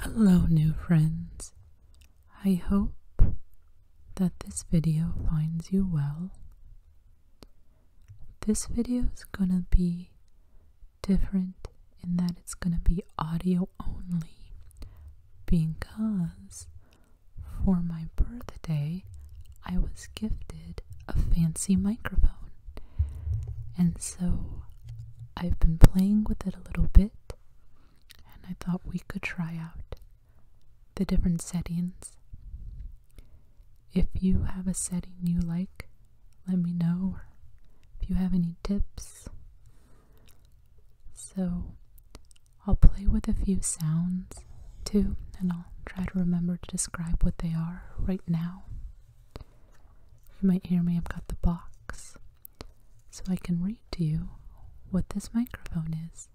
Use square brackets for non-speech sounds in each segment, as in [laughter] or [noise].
Hello, new friends. I hope that this video finds you well. This video is gonna be different in that it's gonna be audio only because for my birthday I was gifted a fancy microphone. And so I've been playing with it a little bit, and I thought we could try out the different settings. If you have a setting you like, let me know if you have any tips. So I'll play with a few sounds too, and I'll try to remember to describe what they are right now. You might hear me, I've got the box. So I can read to you what this microphone is.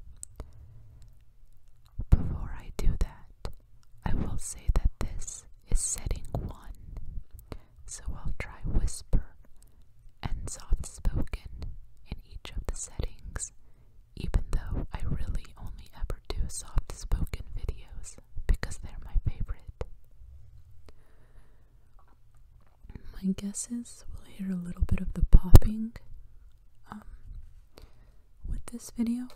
Before I do that, I will say that this is setting one. So I'll try whisper and soft spoken in each of the settings, even though I really only ever do soft spoken videos because they're my favorite. My guess is we'll hear a little bit of the popping um, with this video.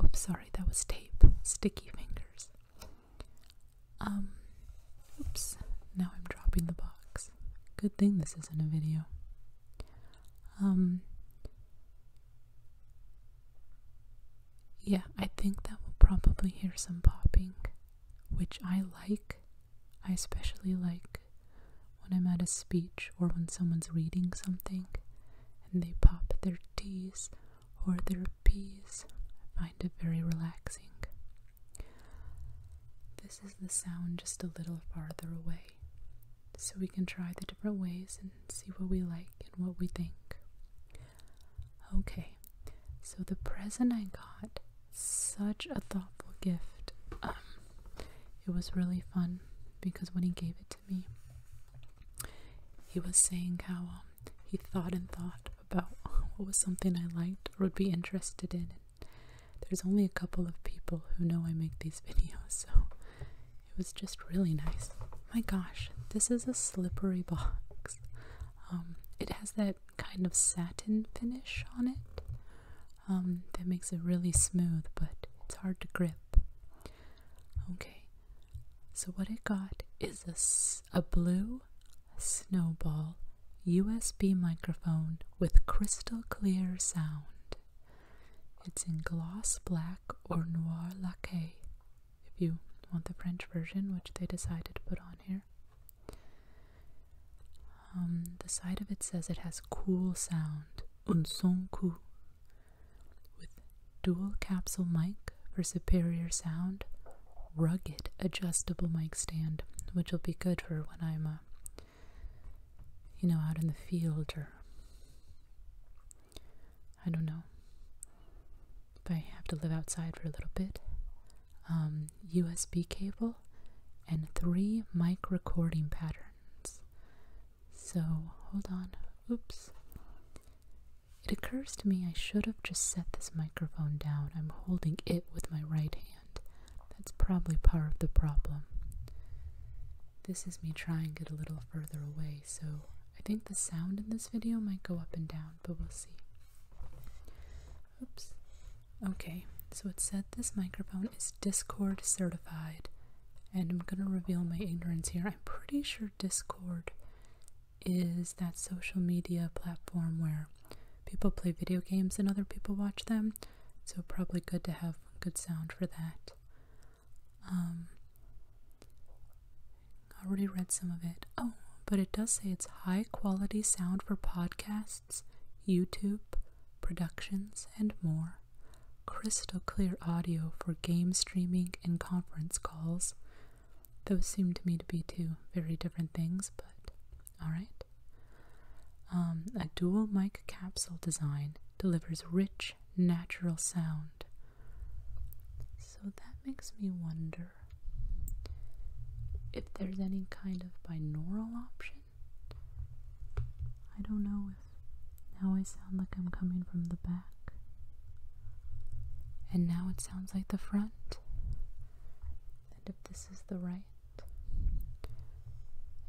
Oh, sorry, that was tape. Sticky fingers. Um, oops, now I'm dropping the box. Good thing this isn't a video. Um, yeah, I think that we'll probably hear some popping, which I like. I especially like when I'm at a speech or when someone's reading something and they pop their T's or their P's. I find it very relaxing. This is the sound just a little farther away, so we can try the different ways and see what we like and what we think. Okay, so the present I got, such a thoughtful gift. Um, it was really fun because when he gave it to me, he was saying how um, he thought and thought about [laughs] what was something I liked or would be interested in. And there's only a couple of people who know I make these [laughs] videos, so it was just really nice my gosh, this is a slippery box. Um, it has that kind of satin finish on it um, that makes it really smooth, but it's hard to grip. Okay, so what I got is a, a blue snowball USB microphone with crystal clear sound. It's in gloss black or noir laqué if you want the French version, which they decided to put on here. Um, the side of it says it has cool sound, un son cool, with dual capsule mic for superior sound, rugged adjustable mic stand, which will be good for when I'm, uh, you know, out in the field or I don't know. If I have to live outside for a little bit, USB um, cable, and three mic recording patterns. So hold on. Oops. It occurs to me I should have just set this microphone down. I'm holding it with my right hand. That's probably part of the problem. This is me trying it a little further away so I think the sound in this video might go up and down, but we'll see. Oops. Okay, so it said this microphone is Discord certified, and I'm gonna reveal my ignorance here. I'm pretty sure Discord is that social media platform where people play video games and other people watch them, so probably good to have good sound for that. Um, Already read some of it. Oh, but it does say it's high quality sound for podcasts, YouTube, productions, and more. Crystal clear audio for game streaming and conference calls. Those seem to me to be two very different things, but alright. Um, a dual mic capsule design delivers rich, natural sound. So that makes me wonder if there's any kind of binaural option. I don't know if now I sound like I'm coming from the back. And now it sounds like the front. And if this is the right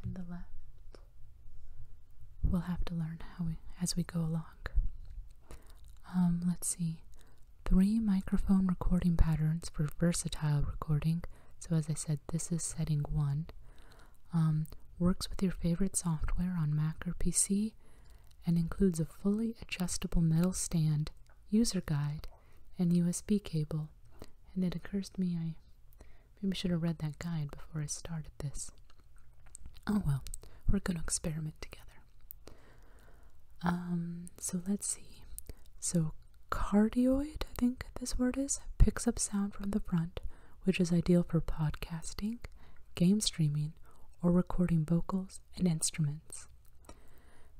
and the left, we'll have to learn how we, as we go along. Um, let's see. Three microphone recording patterns for versatile recording. So as I said, this is setting one. Um, works with your favorite software on Mac or PC and includes a fully adjustable metal stand, user guide, and USB cable. And it occurs to me I maybe should have read that guide before I started this. Oh well, we're going to experiment together. Um, so let's see. So cardioid, I think this word is, picks up sound from the front, which is ideal for podcasting, game streaming, or recording vocals and instruments.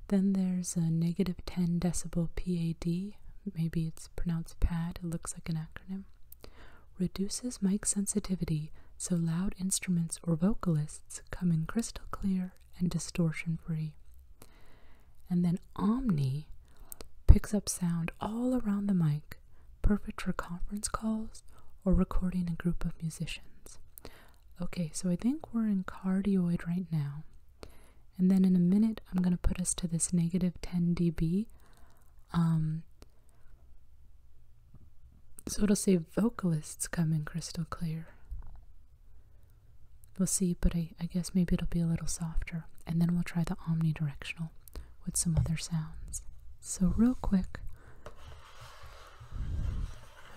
Then there's a negative 10 decibel PAD, maybe it's pronounced PAD, it looks like an acronym, reduces mic sensitivity so loud instruments or vocalists come in crystal clear and distortion free. And then Omni picks up sound all around the mic, perfect for conference calls or recording a group of musicians. Okay, so I think we're in cardioid right now. And then in a minute, I'm going to put us to this negative 10 dB. Um, so it'll say vocalists coming crystal clear. We'll see, but I guess maybe it'll be a little softer. And then we'll try the omnidirectional with some other sounds. So real quick,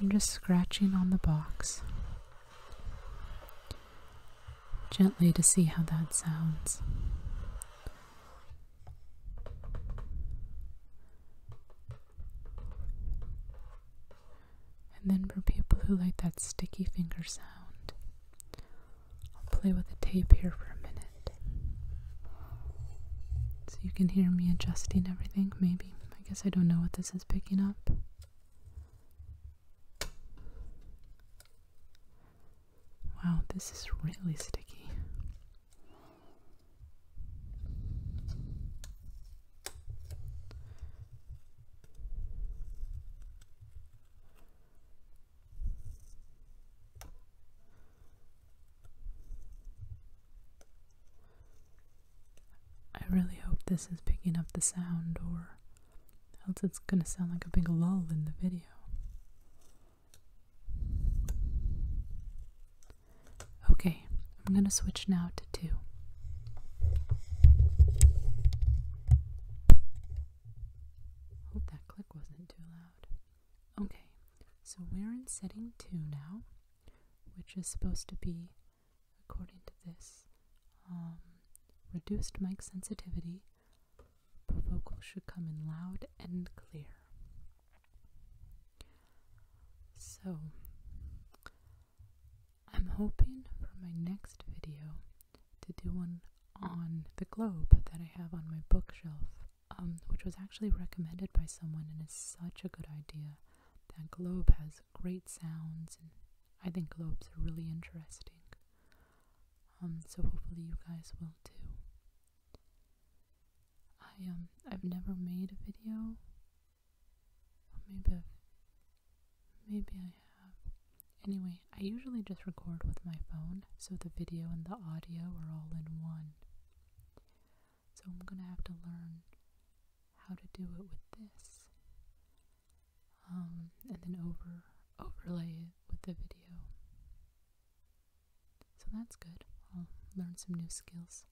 I'm just scratching on the box gently to see how that sounds. And then for people who like that sticky finger sound, I'll play with the tape here for a minute. So you can hear me adjusting everything, maybe. I guess I don't know what this is picking up. Wow, this is really sticky. I really hope this is picking up the sound, or else it's gonna sound like a big lull in the video. Okay, I'm going to switch now to 2. Hope that click wasn't too loud. Okay, so we're in setting 2 now, which is supposed to be, according to this, um, reduced mic sensitivity, but vocals should come in loud and clear. So, I'm hoping for my next video to do one on the globe that I have on my bookshelf, um, which was actually recommended by someone and it's such a good idea. That globe has great sounds, and I think globes are really interesting. Um, so hopefully you guys will too. I um I've never made a video. maybe I've maybe I have. Anyway, I usually just record with my phone, so the video and the audio are all in one. So I'm gonna have to learn how to do it with this. Um, and then over overlay it with the video. So that's good. I'll learn some new skills.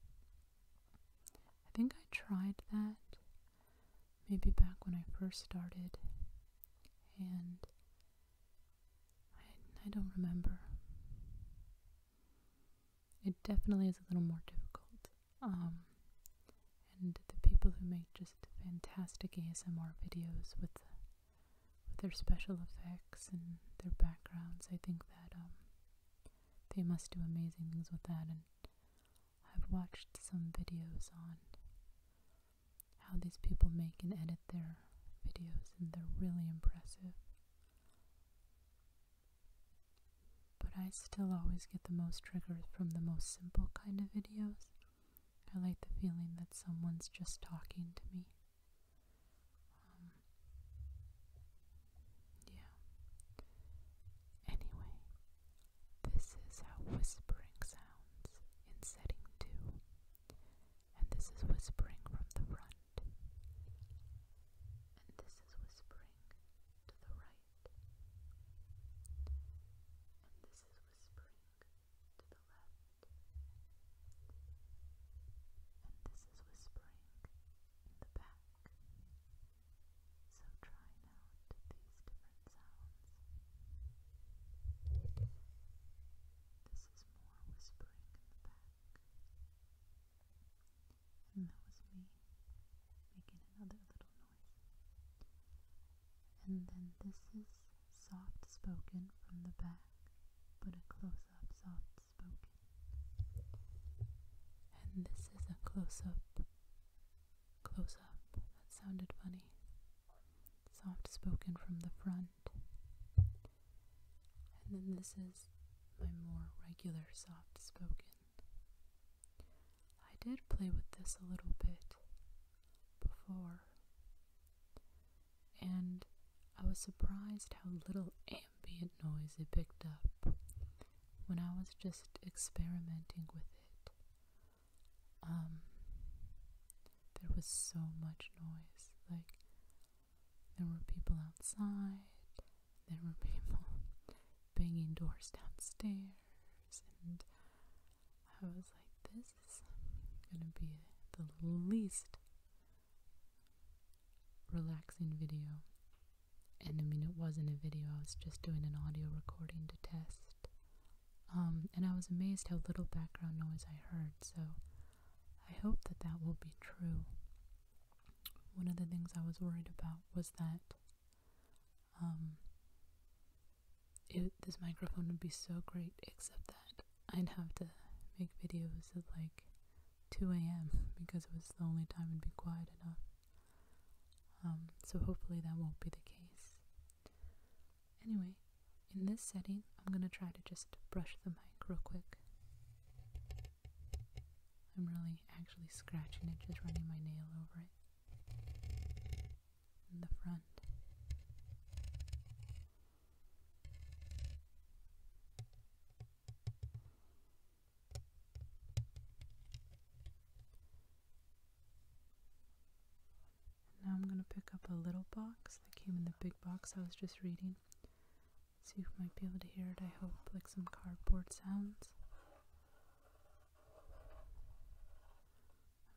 I think I tried that maybe back when I first started, and I, don't remember. It definitely is a little more difficult. Um, and the people who make just fantastic ASMR videos with with their special effects and their backgrounds, I think that um, they must do amazing things with that. And I've watched some videos on how these people make and edit their videos, and they're really impressive. But I still always get the most triggers from the most simple kind of videos. I like the feeling that someone's just talking to me. Um, yeah. Anyway, this is how whispering sounds in setting 2. And this is whispering from the front. And this is whispering to the right. And this is whispering to the left. And this is whispering the back. So trying out these different sounds. This is more whispering in the back. And that was me making another little noise. And then this is soft spoken from the back, but a close up soft and this is a close up. Close up. That sounded funny. Soft spoken from the front. And then this is my more regular soft spoken. I did play with this a little bit before, and I was surprised how little ambient noise it picked up when I was just experimenting with it. Um, there was so much noise. Like, there were people outside, there were [laughs] people banging doors downstairs, and I was like, this is gonna be the least relaxing video. And I mean, it wasn't a video, I was just doing an audio recording to test. Um, and I was amazed how little background noise I heard, so I hope that that will be true. One of the things I was worried about was that um, this microphone would be so great, except that I'd have to make videos of like 2 a.m. because it was the only time it'd be quiet enough. Um, so hopefully that won't be the case. Anyway, in this setting, I'm gonna try to just brush the mic real quick. I'm really actually scratching it, just running my nail over it. In the front. Now I'm going to pick up a little box that came in the big box I was just reading. See if you might be able to hear it, I hope, like some cardboard sounds.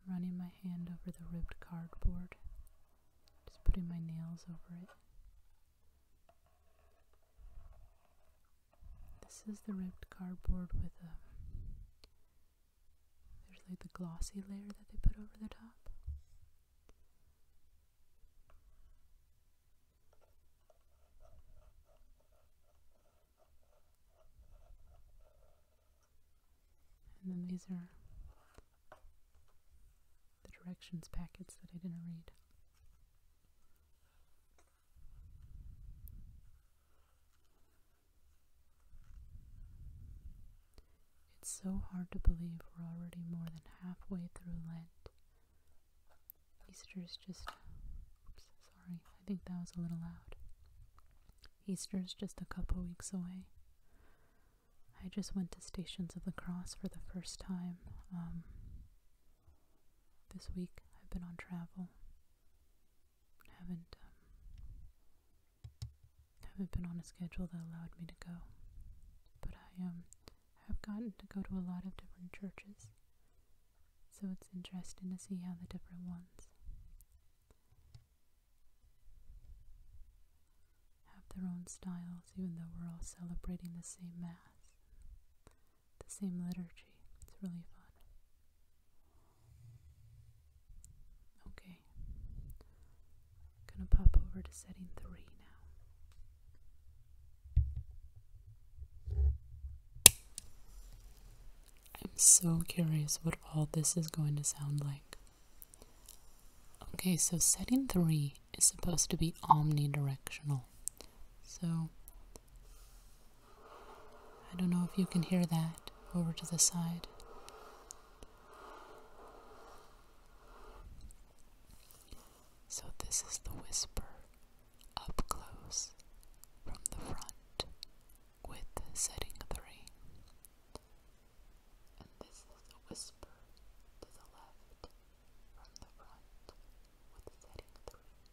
I'm running my hand over the ribbed cardboard, just putting my nails over it. This is the ripped cardboard with a. Um, there's like the glossy layer that they put over the top. And then these are the directions packets that I didn't read. It's so hard to believe we're already more than halfway through Lent. Easter's just. Oops, sorry, I think that was a little loud. Easter's just a couple weeks away. I just went to Stations of the Cross for the first time um, this week I've been on travel. I haven't um, haven't been on a schedule that allowed me to go. But I um have gotten to go to a lot of different churches. So it's interesting to see how the different ones have their own styles, even though we're all celebrating the same Mass, the same liturgy. It's really fun. Okay, gonna pop over to setting three now. I'm so curious what all this is going to sound like. Okay, so setting three is supposed to be omnidirectional. So, I don't know if you can hear that over to the side. So, this is the whisper up close from the front with setting three. And this is the whisper to the left from the front with setting three.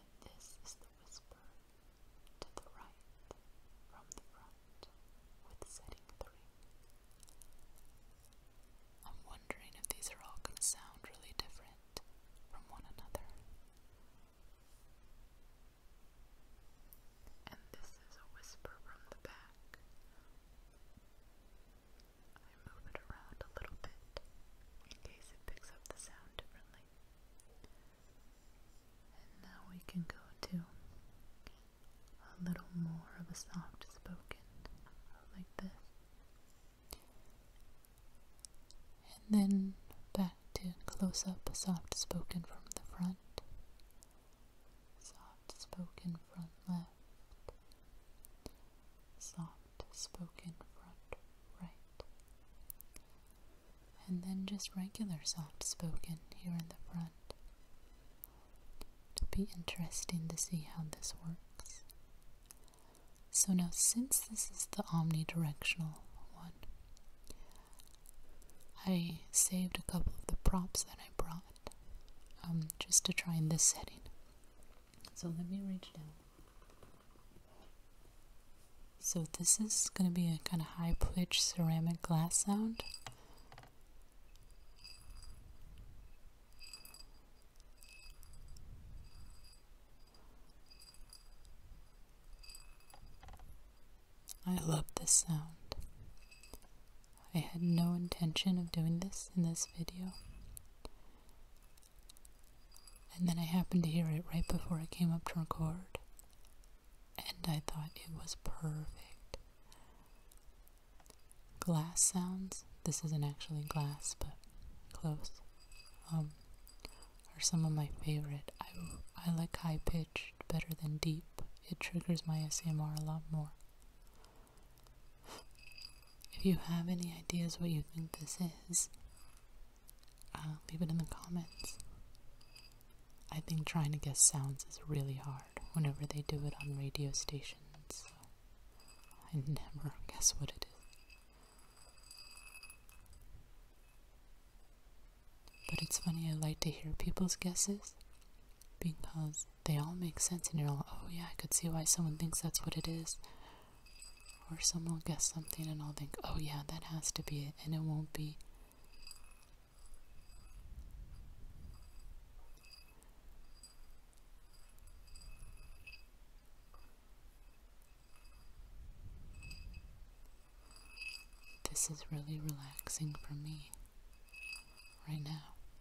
And this is the whisper to the right from the front with setting three. I'm wondering if these are all going to sound really different from one another. And this is a whisper from the back I move it around a little bit in case it picks up the sound differently. And now we can go to a little more of a soft spoken, like this. And then back to close up soft spoken from the front soft spoken front left, soft spoken front right, and then just regular soft spoken here in the front. To be interesting to see how this works. So now since this is the omnidirectional one, I saved a couple of the props that I brought um, just to try in this setting. So let me reach down. So this is going to be a kind of high pitched ceramic glass sound. I love this sound. I had no intention of doing this in this video. And then I happened to hear it right before I came up to record. And I thought it was perfect. Glass sounds, this isn't actually glass, but close, um, are some of my favorite. I, I like high pitched better than deep. It triggers my SMR a lot more. If you have any ideas what you think this is, uh, leave it in the comments. I think trying to guess sounds is really hard whenever they do it on radio stations. I never [laughs] guess what it is. But it's funny, I like to hear people's guesses because they all make sense and you're like, oh yeah, I could see why someone thinks that's what it is. Or someone will guess something and I'll think, oh yeah, that has to be it, and it won't be. This is really relaxing for me right now.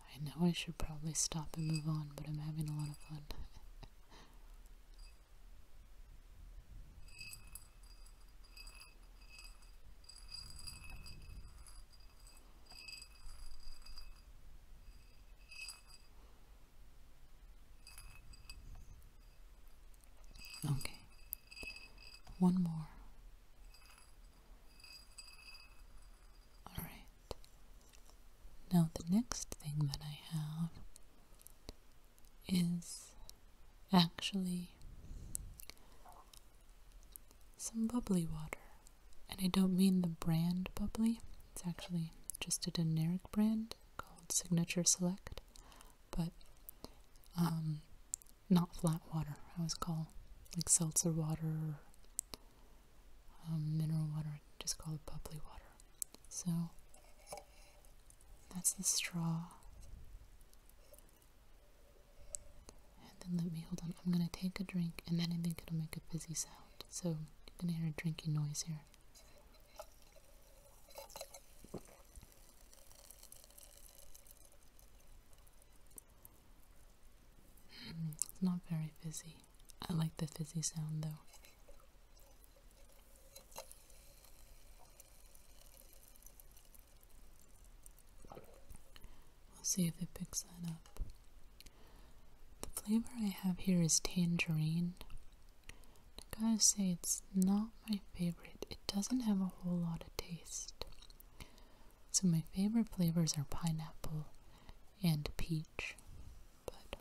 I know I should probably stop and move on, but I'm having a lot of fun. Okay. One more. All right. Now, the next thing that I have is actually some bubbly water. And I don't mean the brand bubbly, it's actually just a generic brand called Signature Select, but um, not flat water. I always call like seltzer water um, mineral water, just called bubbly water. So that's the straw. And then let me hold on. I'm gonna take a drink, and then I think it'll make a fizzy sound. So you're gonna hear a drinking noise here. It's not very fizzy. I like the fizzy sound though. We'll see if it picks that up. The flavor I have here is tangerine. gotta say, it's not my favorite. It doesn't have a whole lot of taste. So, my favorite flavors are pineapple and peach but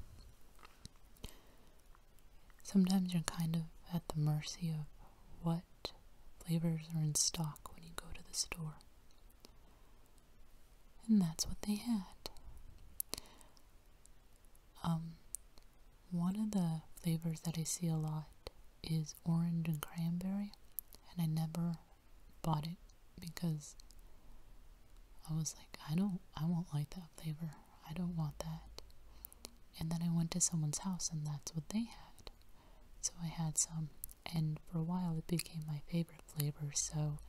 sometimes you're kind of at the mercy of what flavors are in stock when you go to the store. And that's what they had. Um, one of the flavors that I see a lot is orange and cranberry, and I never bought it because I was like, I don't, I won't like that flavor. I don't want that. And then I went to someone's house and that's what they had. So I had some. And for a while it became my favorite flavor. So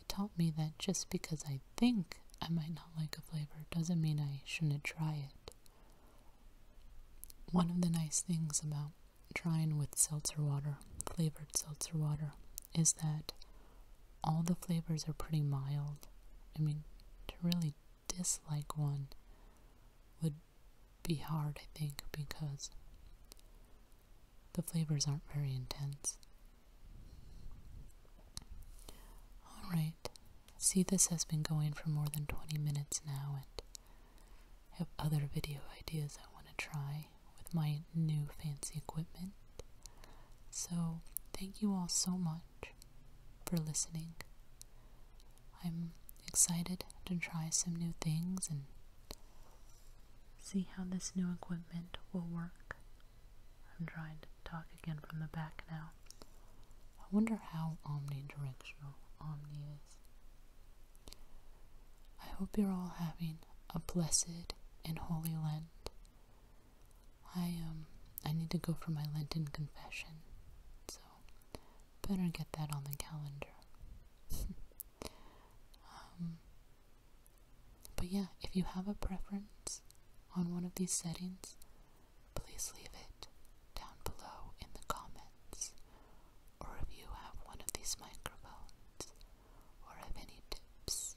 it taught me that just because I think I might not like a flavor doesn't mean I shouldn't try it. One of the nice things about trying with seltzer water, flavored seltzer water, is that all the flavors are pretty mild. I mean, to really dislike one would be hard, I think, because the flavors aren't very intense. Alright, see, this has been going for more than 20 minutes now, and I have other video ideas I want to try with my new fancy equipment. So, thank you all so much for listening. I'm excited to try some new things and see how this new equipment will work. I'm trying to talk again from the back now. I wonder how omnidirectional Omni is. I hope you're all having a blessed and holy Lent. I um I need to go for my Lenten confession, so better get that on the calendar. [laughs] um, but yeah, if you have a preference on one of these settings, please leave it down below in the comments, or if you have one of these microphones, or have any tips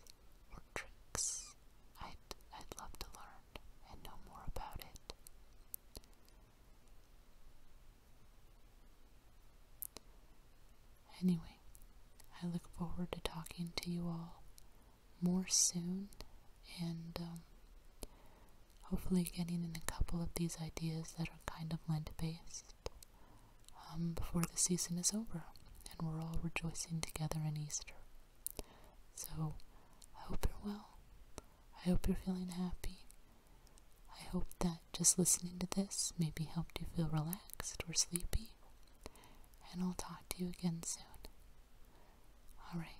or tricks, I'd, I'd love to learn and know more about it. Anyway, I look forward to talking to you all more soon and um, hopefully getting in a couple of these ideas that are kind of Lent based. Um, before the season is over and we're all rejoicing together in Easter. So I hope you're well. I hope you're feeling happy. I hope that just listening to this maybe helped you feel relaxed or sleepy. And I'll talk to you again soon. All right.